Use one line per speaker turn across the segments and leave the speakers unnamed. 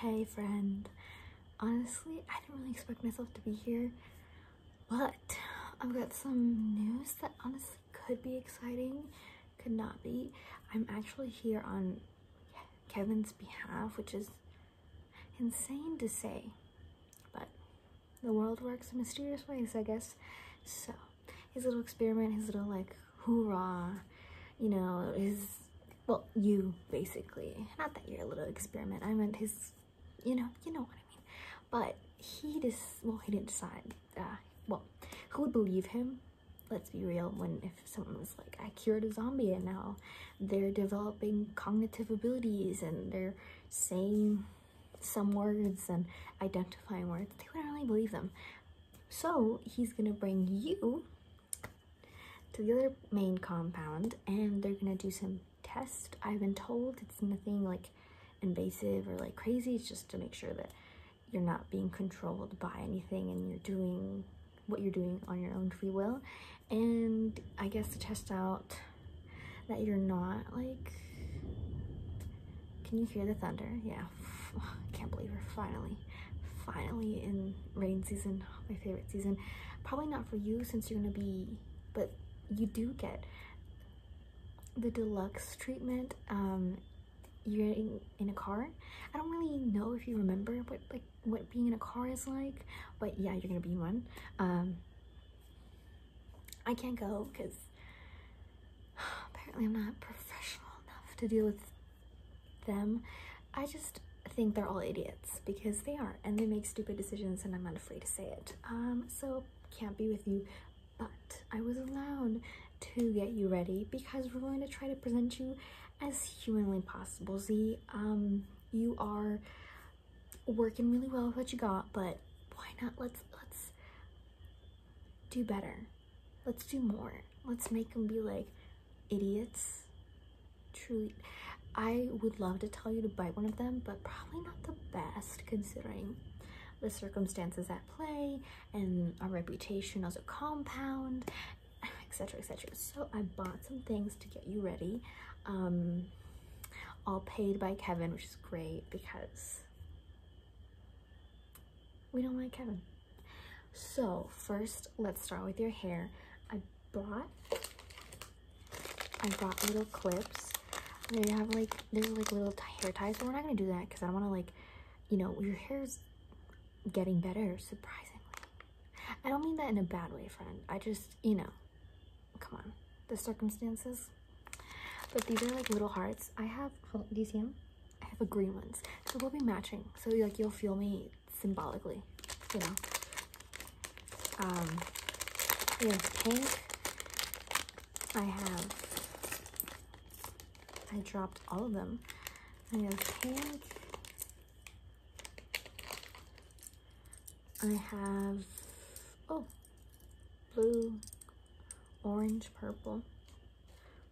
Hey friend, honestly, I didn't really expect myself to be here, but I've got some news that honestly could be exciting, could not be. I'm actually here on Kevin's behalf, which is insane to say, but the world works in mysterious ways, I guess. So, his little experiment, his little like hoorah, you know, his well, you basically. Not that you're a little experiment. I meant his, you know, you know what I mean. But he just, well, he didn't decide. Uh, well, who would believe him? Let's be real. When if someone was like, I cured a zombie and now they're developing cognitive abilities and they're saying some words and identifying words, they wouldn't really believe them. So he's gonna bring you to the other main compound and they're gonna do some tests. I've been told it's nothing like invasive or like crazy. It's just to make sure that you're not being controlled by anything and you're doing what you're doing on your own free will. And I guess to test out that you're not like, can you hear the thunder? Yeah, I can't believe we're finally finally, in rain season, my favorite season. Probably not for you since you're gonna be, but you do get the deluxe treatment. Um, you're in, in a car. I don't really know if you remember what like what being in a car is like, but yeah, you're gonna be one. Um, I can't go because apparently I'm not professional enough to deal with them. I just think they're all idiots because they are and they make stupid decisions and I'm not afraid to say it. Um, so can't be with you, but I was allowed to get you ready because we're going to try to present you as humanly possible. Z, um, you are working really well with what you got, but why not let's let's do better. Let's do more. Let's make them be like, idiots. Truly, I would love to tell you to bite one of them, but probably not the best considering the circumstances at play and our reputation as a compound, etc. etc. So I bought some things to get you ready. Um, all paid by Kevin, which is great because we don't like Kevin. So first, let's start with your hair. I brought, I brought little clips. They have like, there's like little hair ties, but we're not gonna do that because I don't wanna like, you know, your hair's getting better, surprisingly. I don't mean that in a bad way, friend. I just, you know, come on, the circumstances. But these are like little hearts. I have, do you see them? I have a green ones. So we'll be matching. So like, you'll feel me symbolically, you know. Um, have pink. I have, I dropped all of them. I have pink. I have, oh, blue, orange, purple.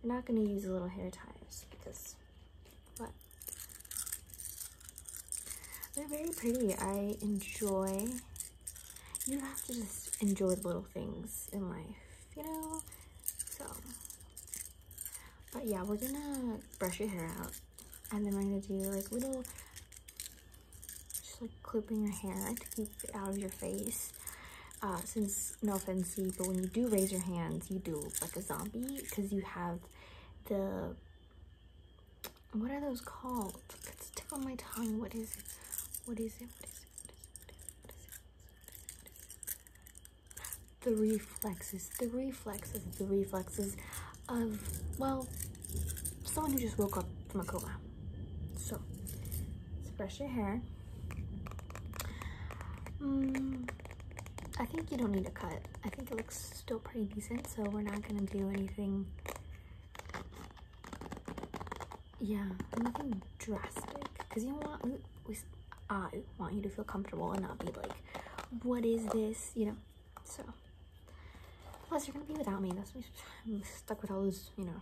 We're not gonna use little hair ties because what? They're very pretty. I enjoy, you have to just enjoy the little things in life, you know? So, but yeah, we're gonna brush your hair out and then we're gonna do like little, just like clipping your hair to keep it out of your face. Uh, since no offense to you, but when you do raise your hands, you do like a zombie because you have the what are those called? It's tip on my tongue. What is it? What is it? What is it? The reflexes, the reflexes, the reflexes of, well, someone who just woke up from a coma. So, let's brush your hair. Mm, I think you don't need a cut. I think it looks still pretty decent, so we're not gonna do anything. Yeah, nothing drastic, because you want I want you to feel comfortable and not be like, what is this? You know. So, plus you're gonna be without me. That's I'm stuck with all those, you know.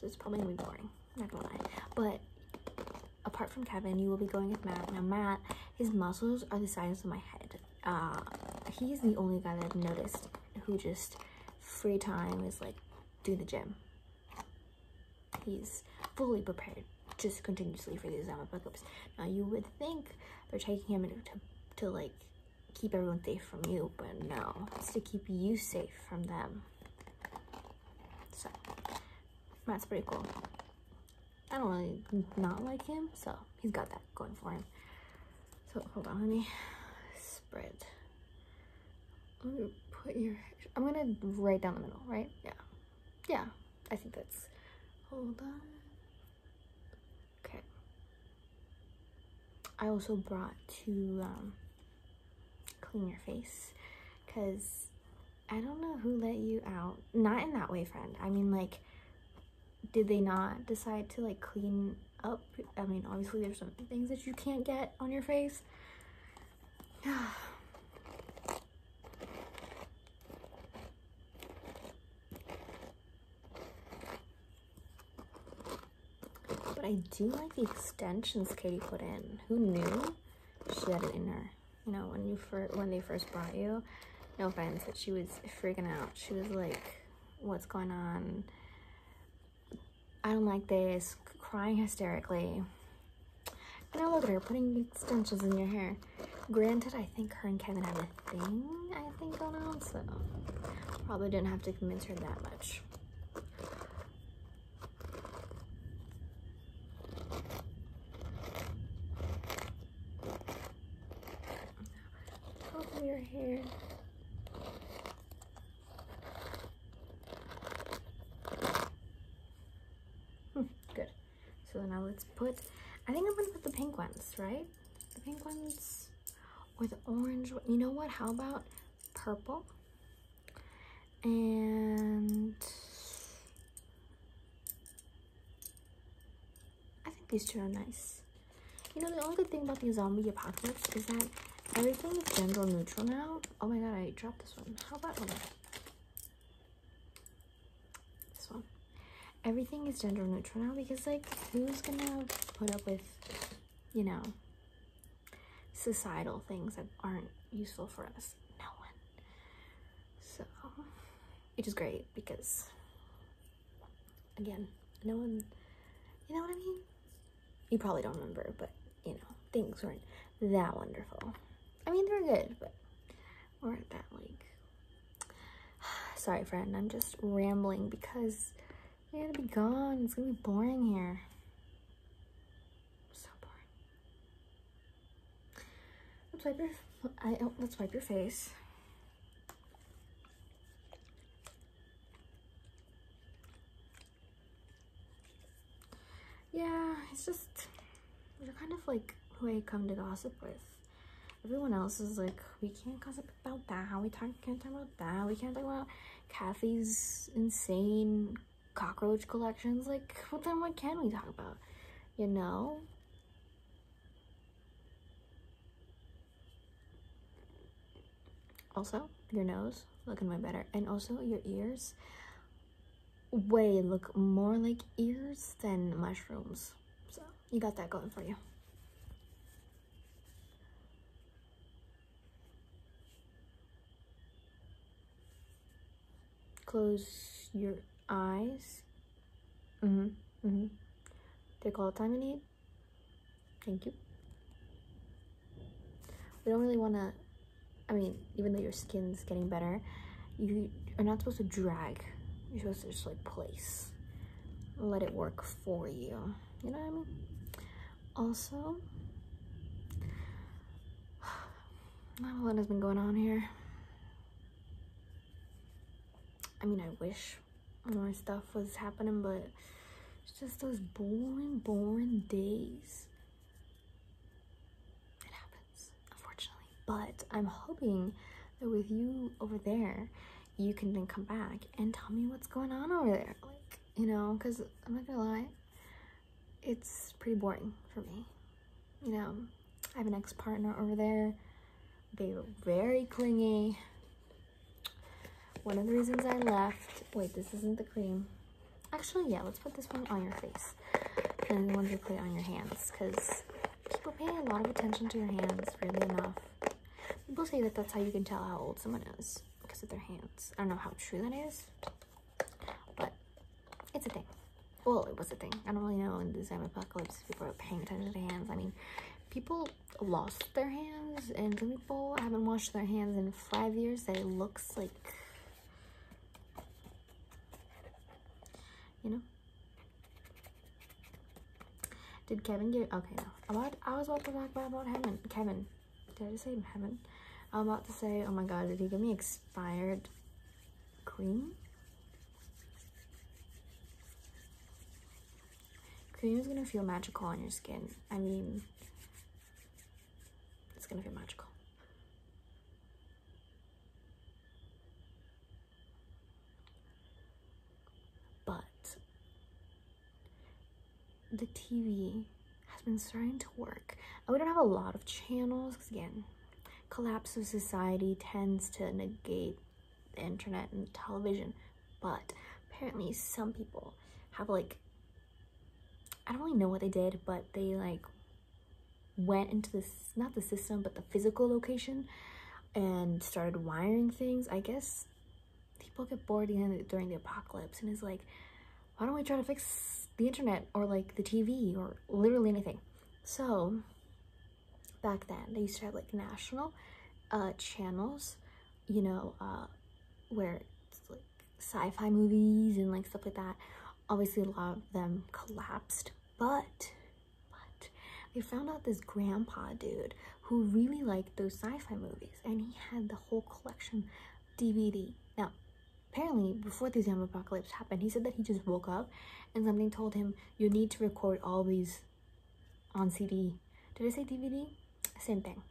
So it's probably gonna be boring not going lie. But apart from Kevin, you will be going with Matt. Now, Matt, his muscles are the size of my head. Uh, he's the only guy that I've noticed who just free time is like do the gym. He's fully prepared just continuously for these exam pickups. Now, you would think they're taking him to, to like keep everyone safe from you, but no, it's to keep you safe from them. So, that's pretty cool. I don't really not like him, so he's got that going for him. So hold on, let me spread. I'm gonna put your, I'm gonna right down the middle, right? Yeah, yeah, I think that's, hold on. Okay. I also brought to um, clean your face because I don't know who let you out. Not in that way, friend. I mean, like, did they not decide to, like, clean up? I mean, obviously, there's some things that you can't get on your face. but I do like the extensions Katie put in. Who knew she had it in her? You know, when you first when they first brought you, no offense, that she was freaking out. She was like, "What's going on? I don't like this." Crying hysterically. And I look at her putting extensions in your hair. Granted, I think her and Kevin have a thing. I think going on, so probably didn't have to convince her that much. Top your hair. Hmm, good. So now let's put, I think I'm gonna put the pink ones, right? The pink ones or the orange, you know what, how about purple? And I think these two are nice. You know, the only good thing about these zombie apocalypse is that everything is gender neutral now. Oh my god, I dropped this one. How about this one? Everything is gender neutral now because, like, who's gonna put up with, you know, societal things that aren't useful for us? no one. So it is great because again, no one you know what I mean? You probably don't remember, but you know, things weren't that wonderful. I mean, they were good, but weren't that like sorry friend i'm just rambling because you're gonna be gone it's gonna be boring here so boring Let's wipe your, I, oh, let's wipe your face. Yeah, it's just, we are kind of like who I come to gossip with. Everyone else is like, we can't gossip about that, we talk, can't talk about that, we can't talk about Kathy's insane cockroach collections. Like, well, then what can we talk about? You know? Also, your nose looking way better. And also, your ears way look more like ears than mushrooms. So, you got that going for you close your eyes. Mm-hmm. Mm-hmm. Take all the time you need. Thank you. We don't really want to, I mean, even though your skin's getting better, you are not supposed to drag. You're supposed to just like place. Let it work for you. You know what I mean? Also, not a lot has been going on here. I mean, I wish more stuff was happening, but it's just those boring, boring days. It happens, unfortunately. But I'm hoping that with you over there, you can then come back and tell me what's going on over there. Like, you know, because I'm not gonna lie, it's pretty boring for me. You know, I have an ex-partner over there. They were very clingy. One of the reasons I left, wait, this isn't the cream. Actually, yeah, let's put this one on your face. And the ones you put on your hands, because people pay a lot of attention to your hands, really enough. People say that that's how you can tell how old someone is, because of their hands. I don't know how true that is, but it's a thing. Well, it was a thing. I don't really know in the zombie apocalypse people are paying attention to hands. I mean, people lost their hands and some people haven't washed their hands in five years that it looks like you know did kevin get okay no about i was about to talk about, about heaven kevin did I just say heaven? I'm about to say, oh my god, did he give me expired cream? Cream is gonna feel magical on your skin. I mean, it's gonna feel magical. But the TV has been starting to work. And we don't have a lot of channels because again, collapse of society tends to negate the internet and television. But apparently some people have like, I don't really know what they did, but they like went into this, not the system, but the physical location and started wiring things. I guess people get bored during the apocalypse and it's like, why don't we try to fix the internet or like the TV or literally anything? So back then they used to have like national uh, channels, you know, uh, where it's like sci-fi movies and like stuff like that. Obviously a lot of them collapsed, but but they found out this grandpa dude who really liked those sci-fi movies and he had the whole collection DVD. Now, apparently before the zombie apocalypse happened he said that he just woke up and something told him you need to record all these on cd did i say dvd same thing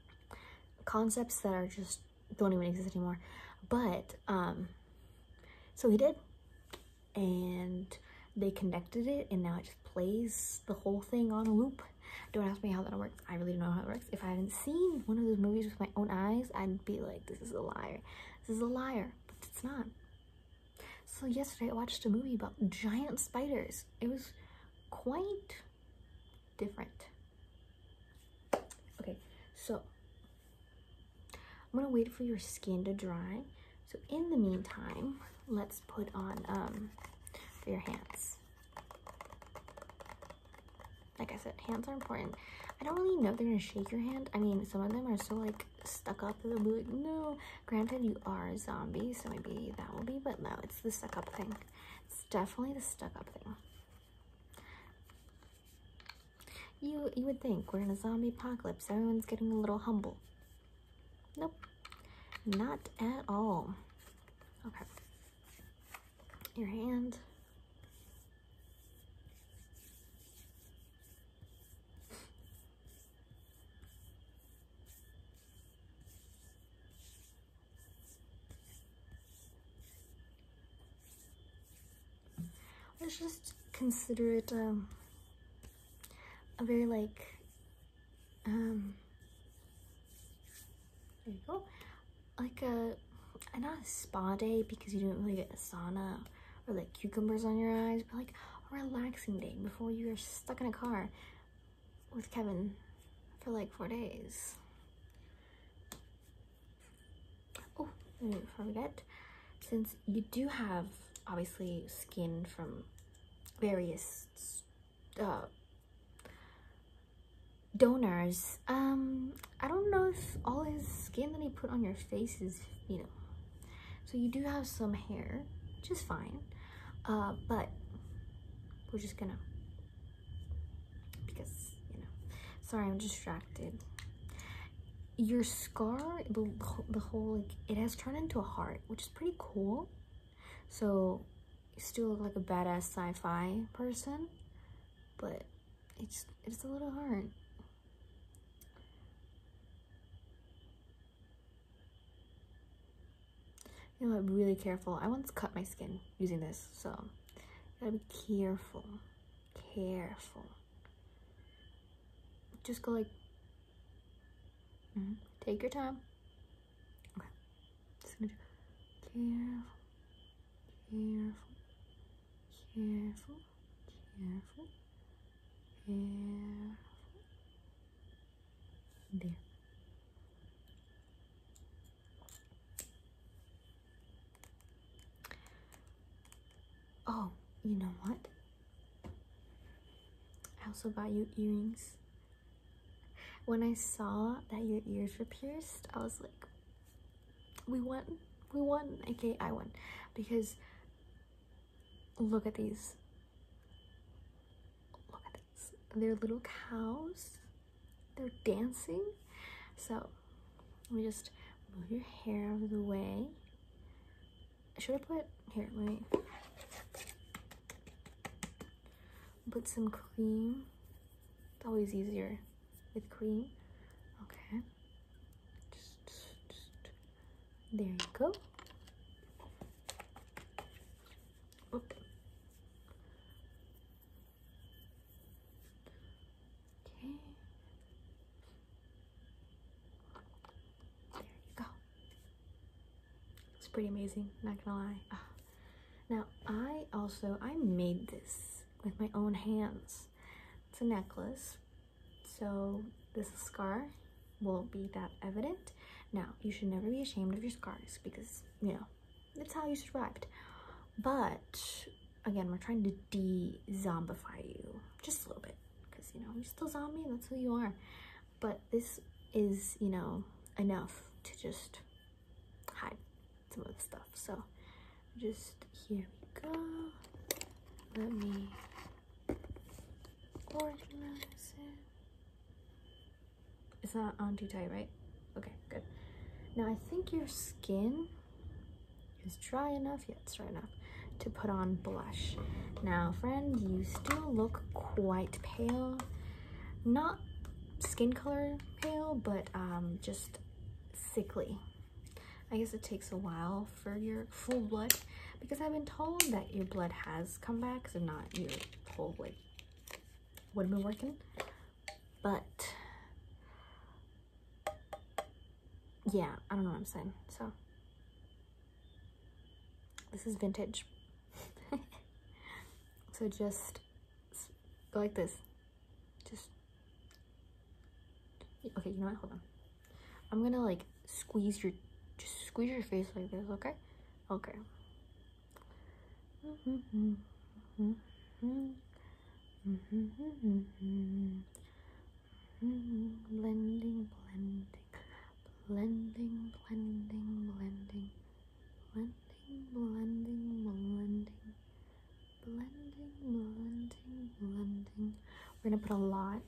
concepts that are just don't even exist anymore but um so he did and they connected it and now it just plays the whole thing on a loop don't ask me how that works i really don't know how it works if I hadn't seen one of those movies with my own eyes, I'd be like, this is a liar. This is a liar. But it's not. So yesterday I watched a movie about giant spiders. It was quite different. Okay, so I'm gonna wait for your skin to dry. So in the meantime, let's put on um, your hands like I said, hands are important. I don't really know they're gonna shake your hand. I mean, some of them are so like stuck up that they'll be like, no. Granted, you are a zombie, so maybe that will be, but no, it's the stuck up thing. It's definitely the stuck up thing. You you would think we're in a zombie apocalypse, everyone's getting a little humble. Nope. Not at all. Okay your hand. Let's just consider it um, a very like um, there you go. Like uh, a, not a spa day because you didn't really get a sauna or like cucumbers on your eyes, but like a relaxing day before you are stuck in a car with Kevin for like four days. Oh, before we get, since you do have obviously skin from various uh, donors um i don't know if all his skin that he put on your face is you know so you do have some hair which is fine uh but we're just gonna because you know sorry i'm distracted your scar the, the whole like it has turned into a heart which is pretty cool so you still look like a badass sci-fi person but it's it's a little hard. You know, i really careful. I once cut my skin using this, so gotta be careful, careful. Just go like, mm-hmm. take your time. Okay. Just going careful, careful, careful, careful, careful. There. Oh, you know what? I also bought you earrings. When I saw that your ears were pierced, I was like, we won we won okay i won because look at these look at these they're little cows they're dancing so let me just move your hair out of the way should i put here let put some cream. It's always easier with cream. Okay. Just, There you go. Okay. There you go. It's pretty amazing, not gonna lie. Ah. Now I also I made this with my own hands. It's a necklace. So this scar won't be that evident. Now you should never be ashamed of your scars because you know it's how you survived. But again, we're trying to de-zombify you just a little bit because you know you're still zombie. That's who you are. But this is you know enough to just hide some of the stuff. So just here we go. Let me organize it. It's not on too tight, right? Okay, good. Now I think your skin is dry enough, yeah, it's dry enough, to put on blush. Now, friend, you still look quite pale. Not skin color pale, but um, just sickly. I guess it takes a while for your full blood because I've been told that your blood has come back, so not your whole like would have been working. But yeah, I don't know what I'm saying. So this is vintage. so just Go like this. Just. Okay, you know what? Hold on. I'm gonna like squeeze your, just squeeze your face like this. Okay. Okay. Blending, blending, blending, blending, blending blending, blending, blending, blending, blending, blending. We're gonna put a lot.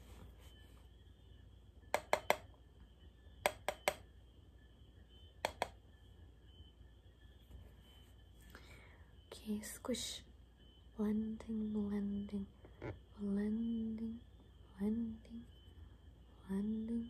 Okay, squish. Blending, blending, blending, blending, blending,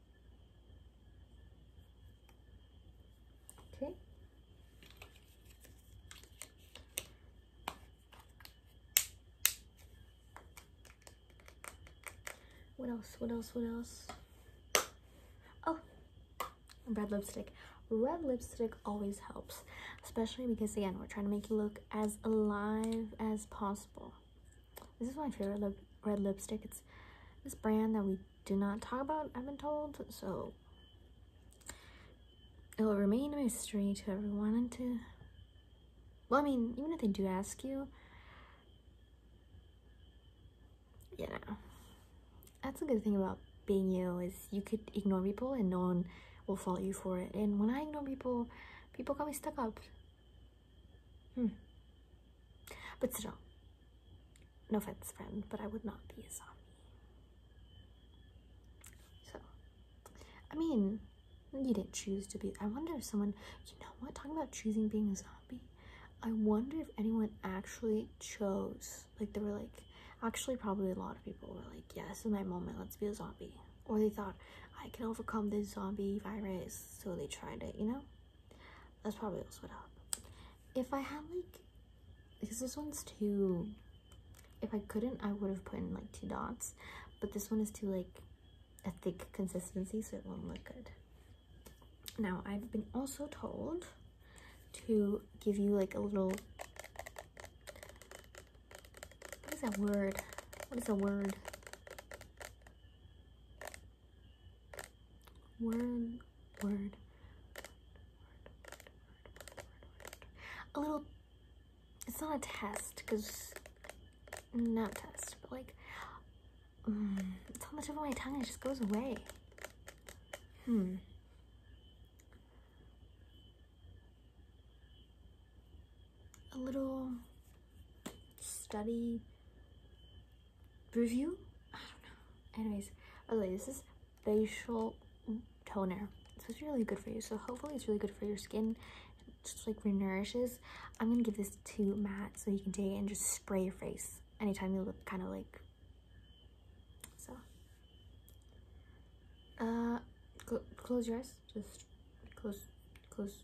Okay. What else? What else? What else? Oh, red lipstick. Red lipstick always helps, especially because, again, we're trying to make you look as alive as possible. This is my favorite lip red lipstick. It's this brand that we do not talk about, I've been told. So it will remain a mystery to everyone and to well, I mean, even if they do ask you, you know, that's a good thing about being you is you could ignore people and no one will fault you for it. And when I ignore people, people call me stuck up. Hmm. But still, no offense, friend, but I would not be a zombie. So, I mean, you didn't choose to be. I wonder if someone, you know what, talking about choosing being a zombie, I wonder if anyone actually chose. Like, they were like, actually, probably a lot of people were like, yes, in that moment, let's be a zombie or they thought I can overcome this zombie virus, so they tried it, you know? That's probably also what happened. If I had like, because this one's too, if I couldn't, I would have put in like two dots, but this one is too like a thick consistency, so it won't look good. Now, I've been also told to give you like a little, what is that word? What is a word? Word, word, word, word, word, word, word, A little, it's not a test, because, not test, but like, mm, it's on the tip of my tongue, it just goes away. Hmm a little study review. I don't know. Anyways, okay, this is facial toner. So it's really good for you. So hopefully it's really good for your skin. It just like renourishes. I'm gonna give this to Matt so he can take it and just spray your face anytime you look kind of like so. Uh, close your eyes. Just close, close,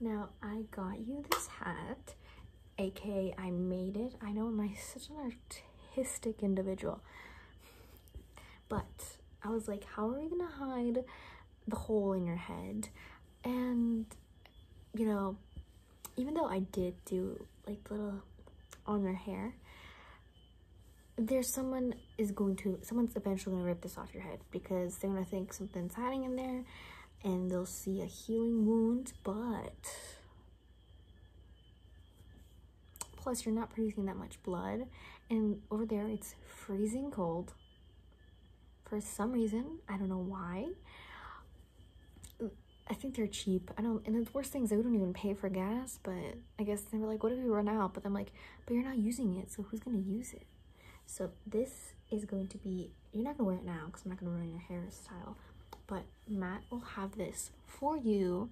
Now I got you this hat, aka I made it. I know I'm such an artistic individual. But I was like, how are we gonna hide the hole in your head? And you know, even though I did do like little on your hair, there's someone is going to someone's eventually going to rip this off your head because they're going to think something's hiding in there and they'll see a healing wound but plus you're not producing that much blood and over there it's freezing cold for some reason i don't know why i think they're cheap i don't and the worst thing is they don't even pay for gas but I guess they were like, what if we run out? But I'm like, but you're not using it, so who's gonna use it? So this is going to be, you're not gonna wear it now because I'm not gonna ruin your hairstyle, but Matt will have this for you.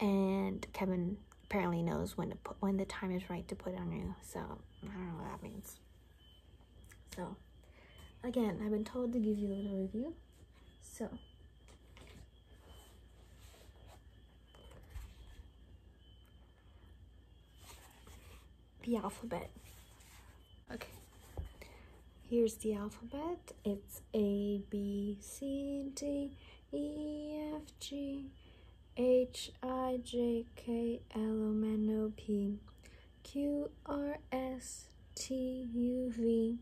And Kevin apparently knows when when the time is right to put it on you. So I don't know what that means. So again, I've been told to give you a little review. So the alphabet. Okay. Here's the alphabet. It's A, B, C, D, E, F, G, H, I, J, K, L, M, N, O, P, Q, R, S, T, U, V,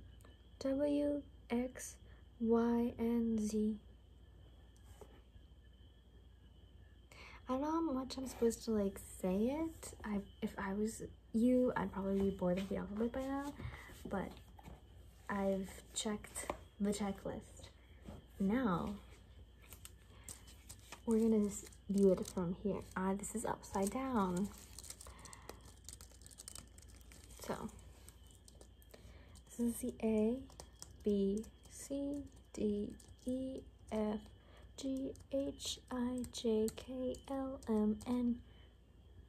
W, X, Y, and Z. I don't know how much I'm supposed to like say it. I if I was you, I'd probably be bored of the alphabet by now, but I've checked the checklist. Now we're gonna view it from here. Ah, this is upside down. So this is the A, B, C, D, E, F, G, H, I, J, K, L, M, N,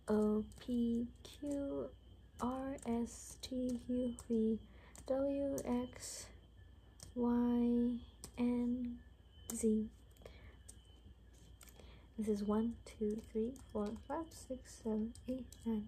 O, P, Q, R, S, T, U, V, W, X, Y, N, Z. This is 1, 2, 3, 4, 5, 6, 7, 8, 9,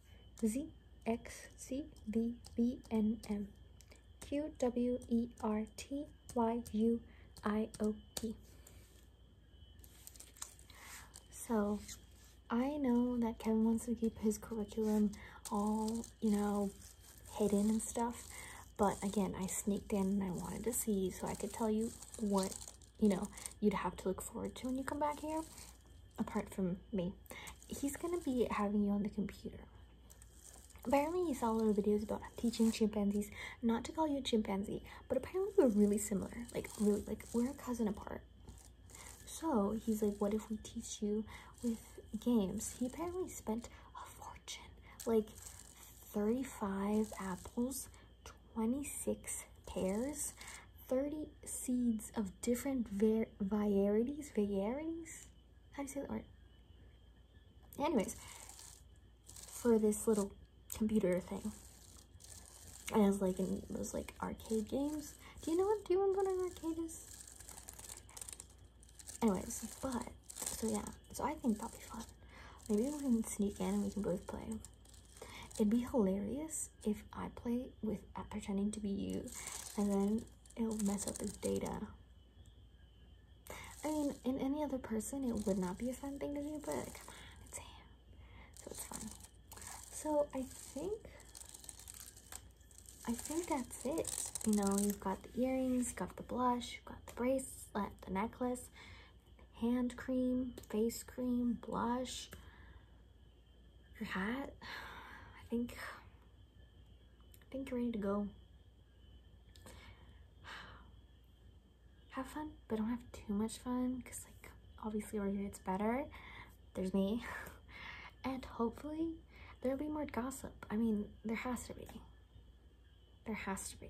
Z X C B B N M Q W E R T Y U I O P. So I know that Kevin wants to keep his curriculum all, you know, hidden and stuff. But again, I sneaked in and I wanted to see so I could tell you what, you know, you'd have to look forward to when you come back here apart from me, he's gonna be having you on the computer. Apparently, he saw little videos about teaching chimpanzees not to call you a chimpanzee, but apparently we're really similar. Like, really, like, we're a cousin apart. So, he's like, what if we teach you with games? He apparently spent a fortune. Like, 35 apples, 26 pears, 30 seeds of different var varieties, varieties? How do you say the word? Anyways, for this little computer thing. And I was like in those like arcade games. Do you know what do you want to go to arcade is? Anyways, but so yeah, so I think that'll be fun. Maybe we can sneak in and we can both play. It'd be hilarious if I play with uh, pretending to be you, and then it'll mess up his data. I mean, in any other person, it would not be a fun thing to do, but come on, it's him. So it's fun. So I think, I think that's it. You know, you've got the earrings, you've got the blush, you've got the bracelet, the necklace, hand cream, face cream, blush, your hat. I think, I think you're ready to go. Have fun, but don't have too much fun because like obviously over here it's better. There's me. and hopefully there'll be more gossip. I mean, there has to be. There has to be.